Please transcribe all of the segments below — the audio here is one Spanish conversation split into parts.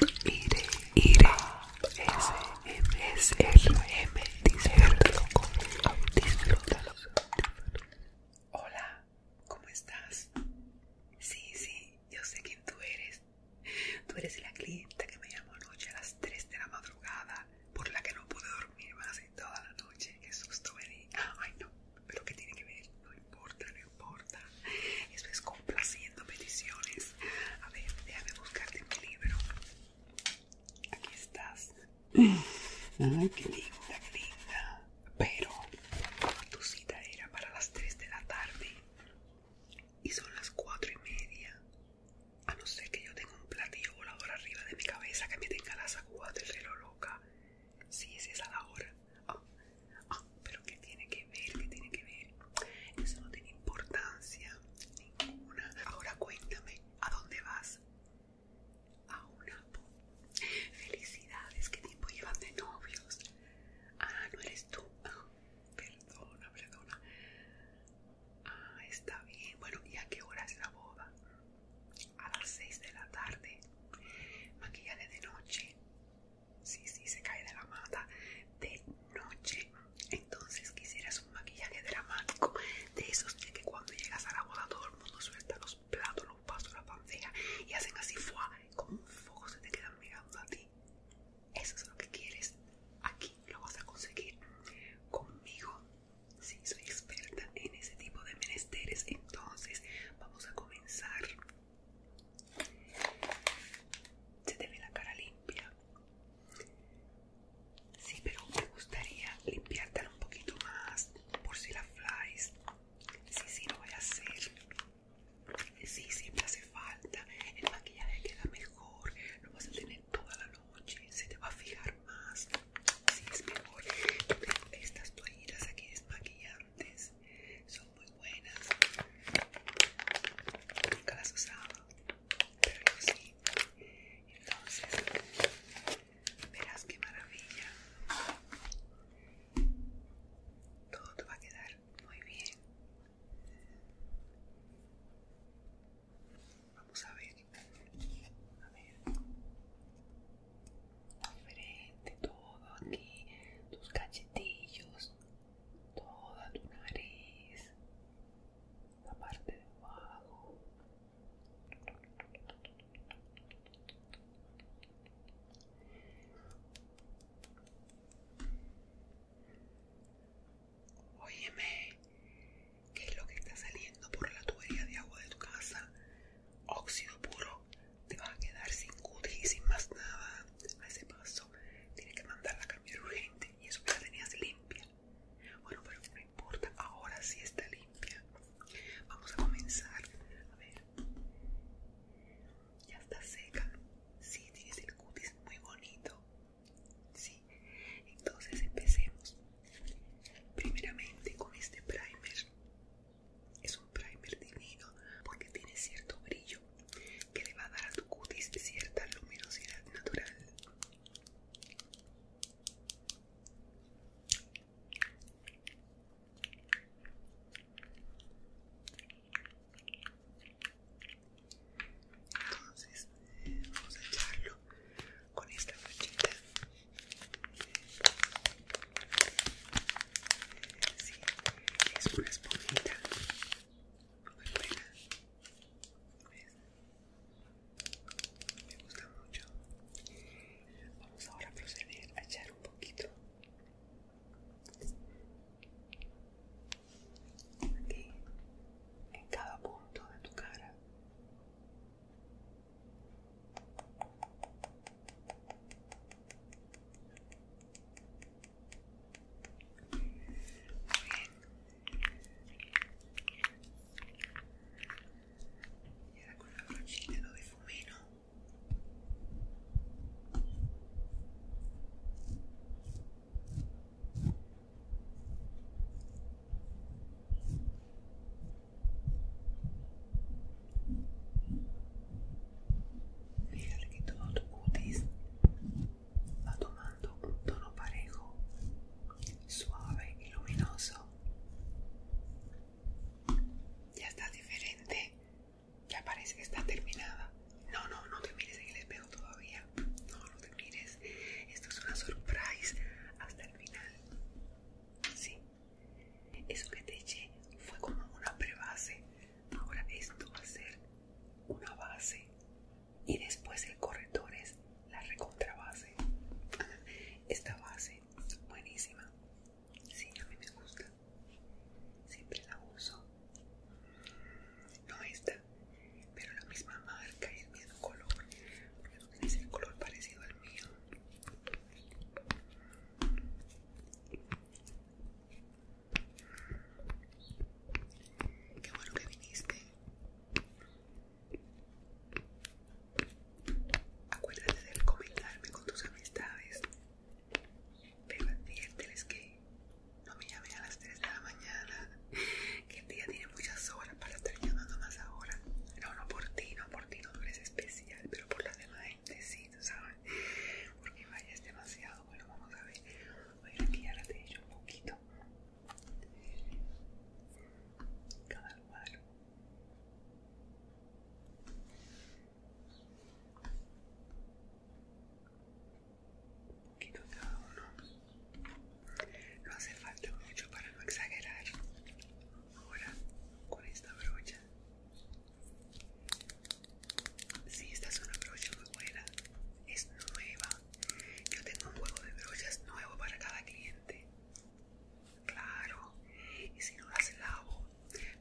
IRE, IRE, S, M, S, R, M, el loco. Hola, ¿cómo estás? Sí, sí, yo sé quién tú eres. Tú eres la clienta que me llamó anoche a las 3 de la madrugada, por la que no pude dormir más en toda la noche. Qué susto me Ay, no, pero ¿qué tiene que ver? No importa, importa. Eso es complaciendo peticiones. A ver, déjame buscarte mi libro. Aquí estás. Ay, qué linda, qué linda. Pero tu cita era para las 3 de la tarde y son las 4 y media. A no ser que yo tenga un platillo volador arriba de mi cabeza que me tenga las agujas del reloj loca. Sí, es a la hora. Ah, Ah, pero ¿qué tiene que ver? ¿Qué tiene que ver? Eso no tiene importancia ninguna. Ahora cuéntame, ¿a dónde vas? A una Felicidades, ¿qué tiempo llevan de novios? Ah, no eres tú. Ah, perdona, perdona. Ah, está bien. Bueno, ¿y a qué hora es la boda? A las 6 de la tarde. Maquillaje de noche sí, sí, se cae de la mata de noche. Entonces quisieras un maquillaje dramático de esos de que cuando llegas a la boda todo el mundo suelta los platos, los vasos, la bandeja y hacen así fuá, como un fuego se te quedan mirando a ti. Eso es lo que quieres. Aquí lo vas a conseguir conmigo. si soy experta en ese tipo de menesteres. Entonces vamos a comenzar. Se te ve la cara limpia. Sí, pero me gustaría limpiártela un poquito más por si la flies. Sí, sí, lo voy a hacer. Sí, siempre hace falta. El maquillaje queda mejor. Lo vas a tener toda la noche. Se te va a fijar más. Sí, es mejor. Yo estas toallitas aquí desmaquillantes. Son muy buenas. Nunca las usado pero yo sí. Entonces, verás qué maravilla. Todo te va a quedar muy bien. Vamos a ver. A ver. Diferente todo aquí. Tus cachetillos toda tu nariz, la parte de abajo. Óyeme, ¿qué es lo que está saliendo por la tubería de agua de tu casa? Óxido puro, te vas a quedar sin cutis y sin más nada. A ese paso tiene que mandarla a cambiar urgente y eso que la tenías limpia. Bueno, pero no importa, ahora sí está limpia. Vamos a comenzar. A ver, ya está seca. Sí, tienes el cutis muy bonito. Sí, entonces empecemos. Primeramente con este primer. Es un primer divino porque tiene cierto brillo que le va a dar a tu cutis cierta luminosidad natural. Entonces vamos a echarlo con esta brochita. si es una esponjita me gusta mucho. Vamos ahora a proceder a echar un poquito. Aquí, en cada punto de tu cara y ahora con la brochita lo difumino Fíjate que todo tu cutis va tomando un tono parejo, suave y luminoso. Ya está diferente, ya parece que está terminada. No, no, no te mires en el espejo todavía. No, no te mires. Esto es una surprise hasta el final. Sí. Eso que te eché fue como una prebase. Ahora esto va a ser una base y después el corrector es la recontrabase. Esta base buenísima. Sí, a mí me gusta. Siempre la uso. No esta, pero la misma marca y el mismo color. Porque el color parecido al mío. Qué bueno que viniste. Acuérdate de comentarme con tus amistades. Pero adviérteles que no me llamen a las 3 de la mañana. Que el día tiene muchas horas para estar llamando más ahora. No, no por ti, no por ti, no eres especial, pero por la demás gente sí, tú sabes. Porque vayas demasiado. Bueno, vamos a ver. Voy a ya la un poquito. Cada lugar. Un poquito cada uno No hace falta mucho para no exagerar. Ahora con esta brocha. Si, esta es una brocha muy buena. Es nueva. Yo tengo un juego de brochas nuevo para cada cliente. Claro, y si no las lavo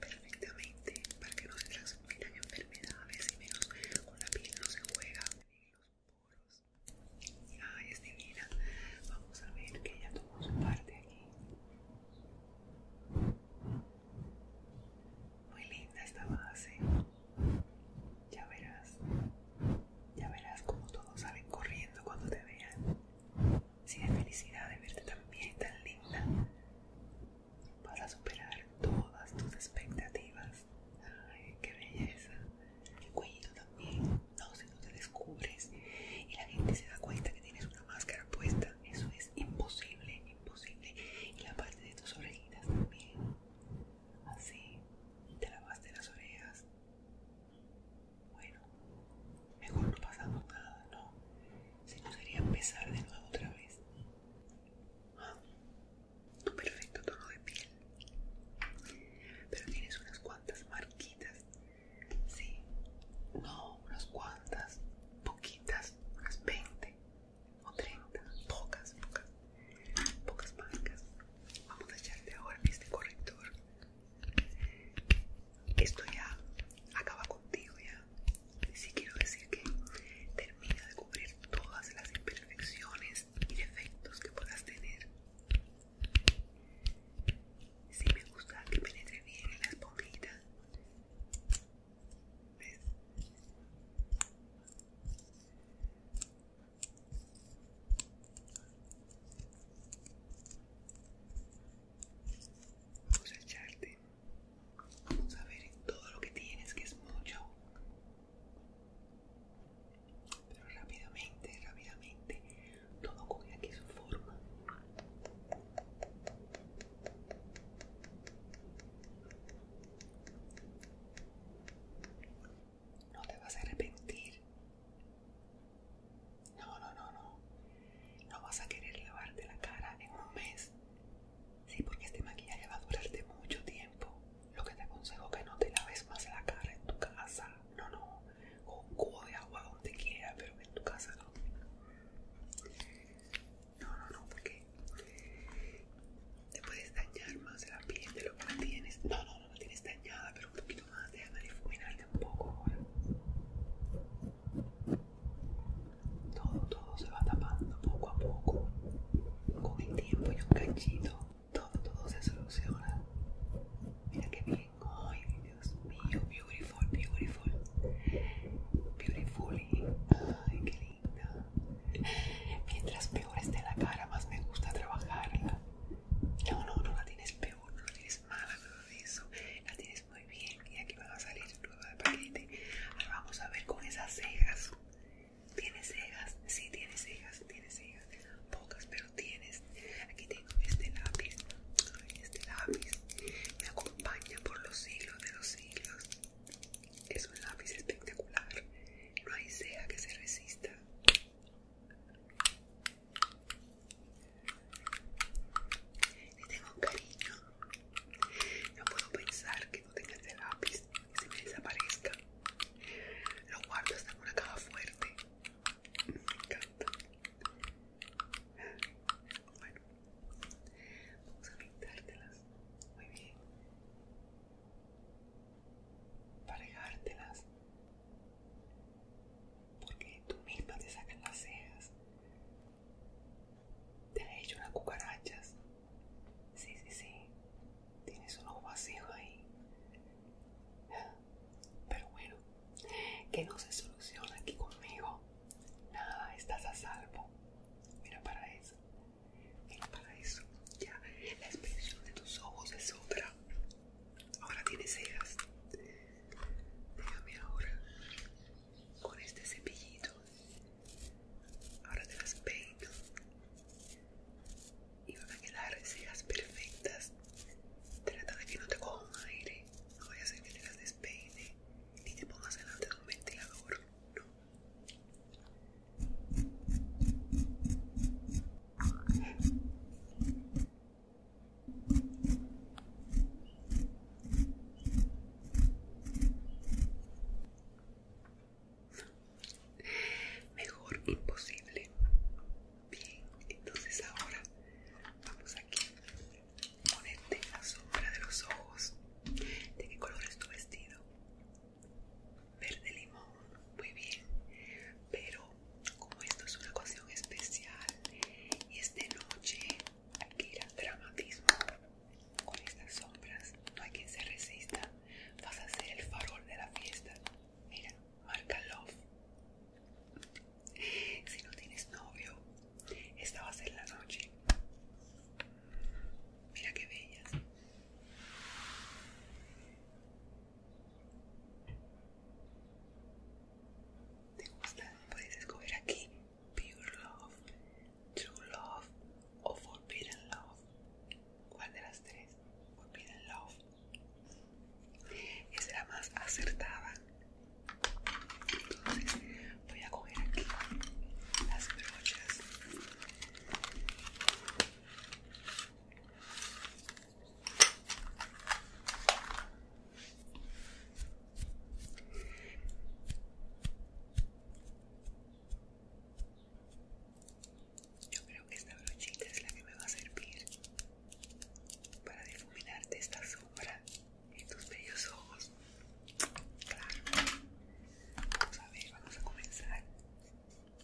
perfectamente para que no se transmitan enfermedades y menos con la piel no se juega los poros. Ay, es Vamos a ver que ella tomó su parte aquí. Muy linda esta base. Ya verás. Ya verás como todos salen corriendo cuando te vean. Si la felicidad de verte tan bien tan linda. Para superar todas tus expectativas. Ay, qué belleza. El cuello también. No, si no te descubres y la gente se da cuenta que tienes una máscara puesta. Eso es imposible, imposible. Y la parte de tus orejitas también. Así te lavaste las orejas. Bueno, mejor no pasamos nada, ¿no? Si no sería empezar de nuevo otra vez. Ah, tu perfecto tono de piel. Pero tienes unas cuantas marquitas. Sí, no, unas cuantas, poquitas, unas 20 o 30, pocas, pocas, pocas marcas. Vamos a echarte ahora este corrector. Esto ya acaba contigo ya. si quiero decir que termina de cubrir todas las imperfecciones y defectos que puedas tener. si me gusta que penetre bien en la esponjita. ¿Ves? Vamos a echarte. Vamos a ver todo lo que tienes, que es mucho. Pero rápidamente, rápidamente, todo coge aquí su forma. No te vas a arrepentir. No, no, no, no. No vas a querer lavarte la cara en un mes. Sí, porque este maquillaje va a durarte mucho tiempo. Lo que te aconsejo que no te laves más la cara en tu casa. No, no. O un cubo de agua donde quiera, pero en tu casa no. No, no, no, porque te puedes dañar más la piel de lo que no tienes. No, no, no la tienes dañada, pero un poquito más, déjame difuminarte un poco ahora. Todo, todo se va tapando poco a poco. Con el tiempo y un cachito, todo, todo se soluciona. Mira qué bien. Ay, Dios mío, beautiful, beautiful. Beautiful. Ay, qué linda. Mientras peor esté la cara, más me gusta trabajarla. No, no, no la tienes peor, no la tienes mala, nada eso. La tienes muy bien y aquí va a salir nueva de paquete. vamos a ver con esas cejas. ¿Tienes cejas? Sí, tienes cejas, tienes cejas. Pocas, pero tienes. Aquí tengo este lápiz. Este lápiz me acompaña por los siglos de los siglos. Es un lápiz espectacular. No hay ceja que se resista. Le tengo un cariño. No puedo pensar que no tenga este lápiz y se me desaparezca. Lo guardo hasta en una caja fuerte. Me encanta. Bueno, vamos a pintártelas. Muy bien dejártelas Porque tú misma te sacas las cejas. Te ha hecho unas cucarachas. Sí, sí, sí. Tienes un ojo vacío ahí. Pero bueno, que no se soluciona aquí conmigo. Nada, estás a salvo. Mira para eso el paraíso. Ya, la expresión de tus ojos es otra. Ahora tienes cejas. Déjame ahora con este cepillito. Ahora te las peino y van a quedar cejas perfectas. Trata de que no te coja un aire. No voy a hacer que te las despeine ni te pongas delante de un ventilador. No. Mejor imposible. Bien, entonces ahora vamos aquí Ponete la sombra de los ojos. ¿De qué color es tu vestido? verde limón, muy bien, pero como esto es una ocasión especial y es noche, hay dramatismo con estas sombras, no hay quien se resista, vas a ser el farol de la fiesta, mira, marca love. Si no tienes novio, esta va a ser la noche. Mira qué bellas. ¿Te gusta? Puedes escoger aquí Pure Love, True Love o Forbidden Love. ¿Cuál de las tres? Forbidden Love. Esa era más acertada. Entonces voy a coger aquí las brochas. Yo creo que esta brochita es la que me va a servir para difuminarte esta sombra en tus bellos ojos. Vamos a ver, vamos a comenzar.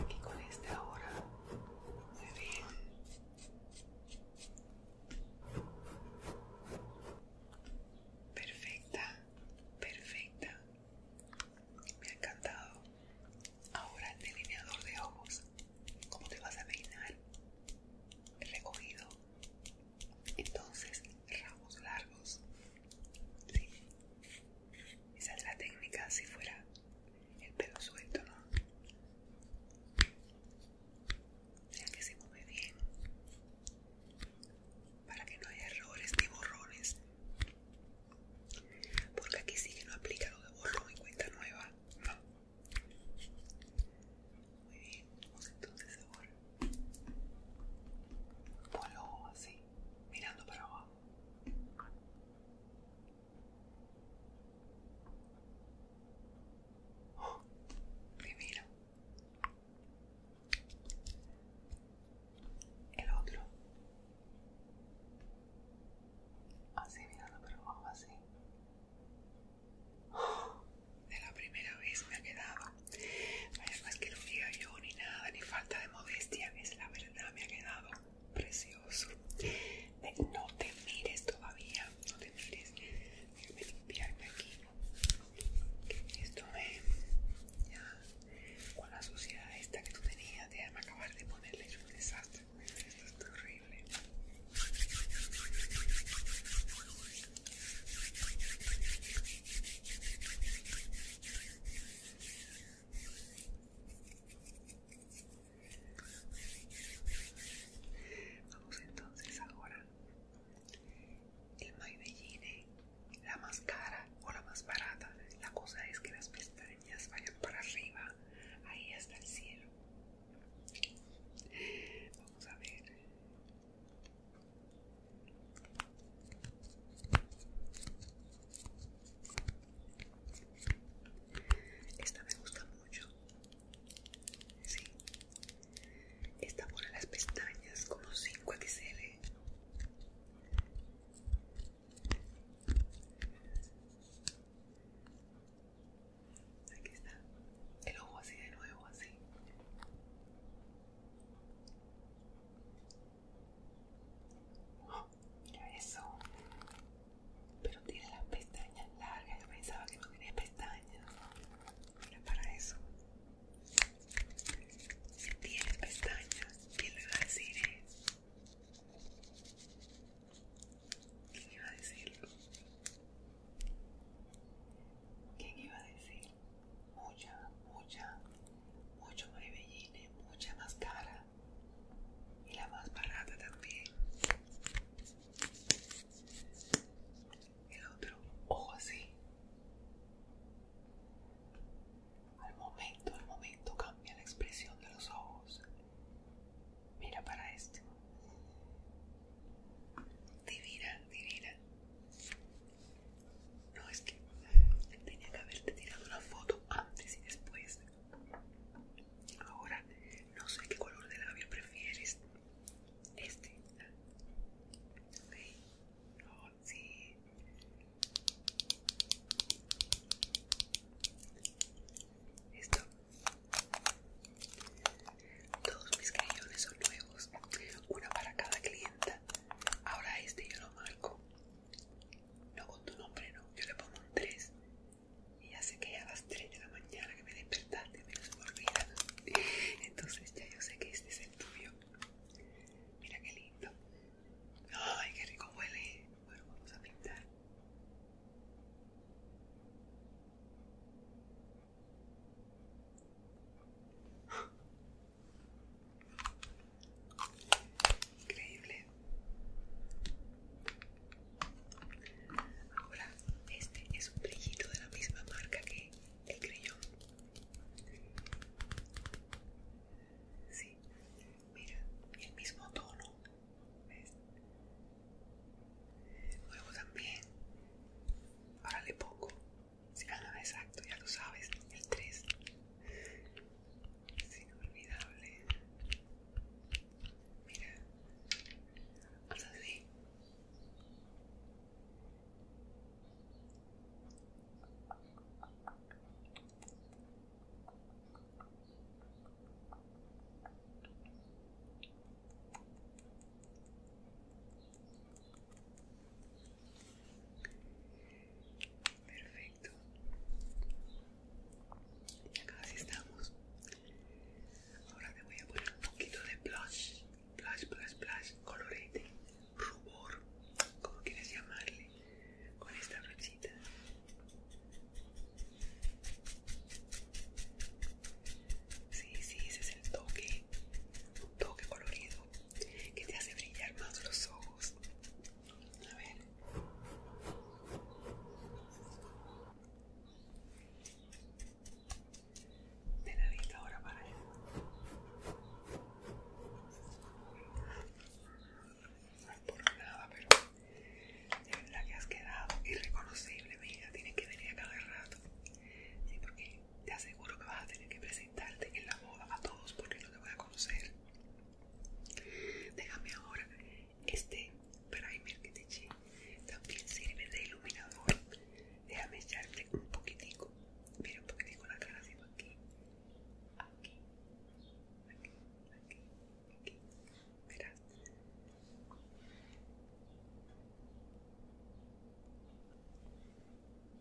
Aquí con este ahora muy bien perfecta perfecta me ha encantado ahora el delineador de ojos cómo te vas a el recogido entonces, ramos largos. Esa es la técnica si fuera el pelo suelto, ¿no? Ya que se mueve bien. Para que no haya errores ni borrones. Porque aquí sí que no aplica lo de borro en cuenta nueva. Muy bien, vamos entonces borrar. Con lo así, mirando para abajo. primero oh, mira. El otro. Así mirando para abajo, así. Oh, de la primera vez me ha quedado no es que lo diga yo, ni nada, ni falta de modestia. Es la verdad, me ha quedado precioso. No te mires todavía, no te mires. Déjame limpiarme aquí. Esto me. Ya. Con la suciedad esta que tú tenías, déjame acabar de ponerle yo un desastre. Esto es horrible. Vamos entonces ahora. El Maybelline, la más cara o la más barata. La cosa es que las pestañas vayan para arriba, ahí hasta el cielo. Vamos a ver. Esta me gusta mucho. Sí. Esta por las pestañas como 5 XL. Aquí está. El ojo así de nuevo, así mira eso. Pero tiene las pestañas largas. Yo pensaba que no tenía pestañas. Mira para eso. Si tienes pestañas, ¿Quién le iba a decir? ¿eh? ¿Quién iba a decirlo? ¿Quién iba a decirlo? mucha, mucha, mucho maybelline, mucha más cara y la más barata también. El otro ojo así. Al momento, al momento cambia la expresión de los ojos. Mira para este. Divina, divina. No, es que tenía que haberte tirado una foto antes y después. Ahora, no sé qué color de labio prefieres. Este. Ok. Oh, sí. ¿Esto? Todos mis crayones son nuevos. Una para cada cliente. Ahora este yo lo marco. No con tu nombre, no. Yo le pongo un 3. Y ya sé que ya a las 3 de la mañana que me despertaste, me lo me olvida. Entonces ya yo sé que este es el tuyo. Mira qué lindo. Ay, qué rico huele. Bueno, vamos a pintar. Increíble. Ahora, este es un brillito de la misma marca que el creyón. Sí, mira, el mismo tono. Luego también, ahora le pongo si, Sí, ah, exacto, ya lo sabes, el 3. Es inolvidable. Mira. Haz así. Perfecto. Acá casi estamos. Ahora te voy a poner un poquito de blush. Blush, blush, blush. Colorete. Rubor. Como quieres llamarle. Con esta brochita. Sí, sí, ese es el toque. Un toque colorido que te hace brillar más los ojos. A ver. De lista ahora para allá. No es por nada, pero de verdad que has quedado irreconocible, mija. Tienes que venir a cada rato. Sí, porque te aseguro que vas a tener que presentarte en la boda a todos porque no te voy a conocer. Déjame ahora este primer que te di También sirve de iluminador. Déjame echarte un poquitico. Mira un poquitico la cara así aquí. Aquí. Aquí. Aquí. Aquí.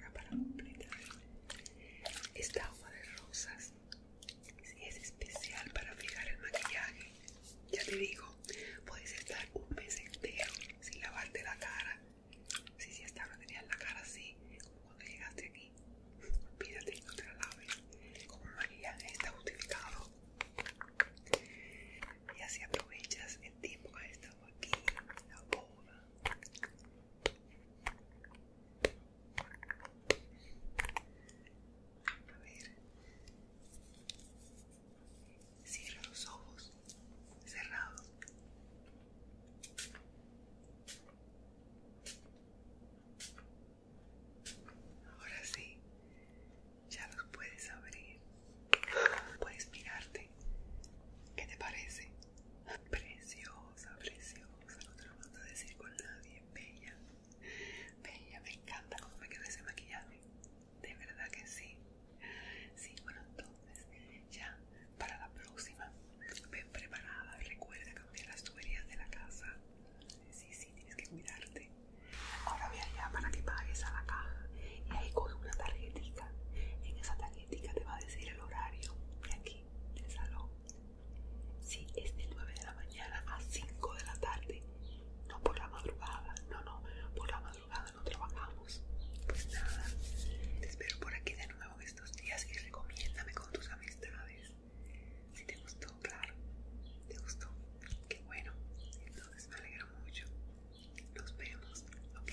la para completar. Esta agua de rosas es especial para fijar el maquillaje. Ya te digo, puedes estar un mes entero sin lavarte la cara. Si si sí, hasta tenías la cara así, como cuando llegaste aquí. Olvídate, no te la laves. Como lo está justificado. Y así aprovechas el tiempo que esto aquí la a ver cierra los ojos cerrados ahora sí ya los puedes abrir Puedes mirarte. ¿Qué te parece? Preciosa, preciosa. No te lo mando a decir con nadie. Bella. Bella, me encanta cómo me quedo ese maquillaje. De verdad que sí. Sí, bueno, entonces ya para la próxima. Ven preparada. Recuerda cambiar las tuberías de la casa. Sí, sí, tienes que cuidarte. Ahora voy allá para que pagues a la caja y ahí coge una tarjetita. En esa tarjetita te va a decir el horario de aquí, del salón. Si es de 9 de la mañana a 5 de la tarde, no por la madrugada, no, no, por la madrugada no trabajamos. Pues nada, te espero por aquí de nuevo estos días y recomiéndame con tus amistades. Si te gustó, claro, te gustó, qué bueno, entonces me alegro mucho. Nos vemos, ok.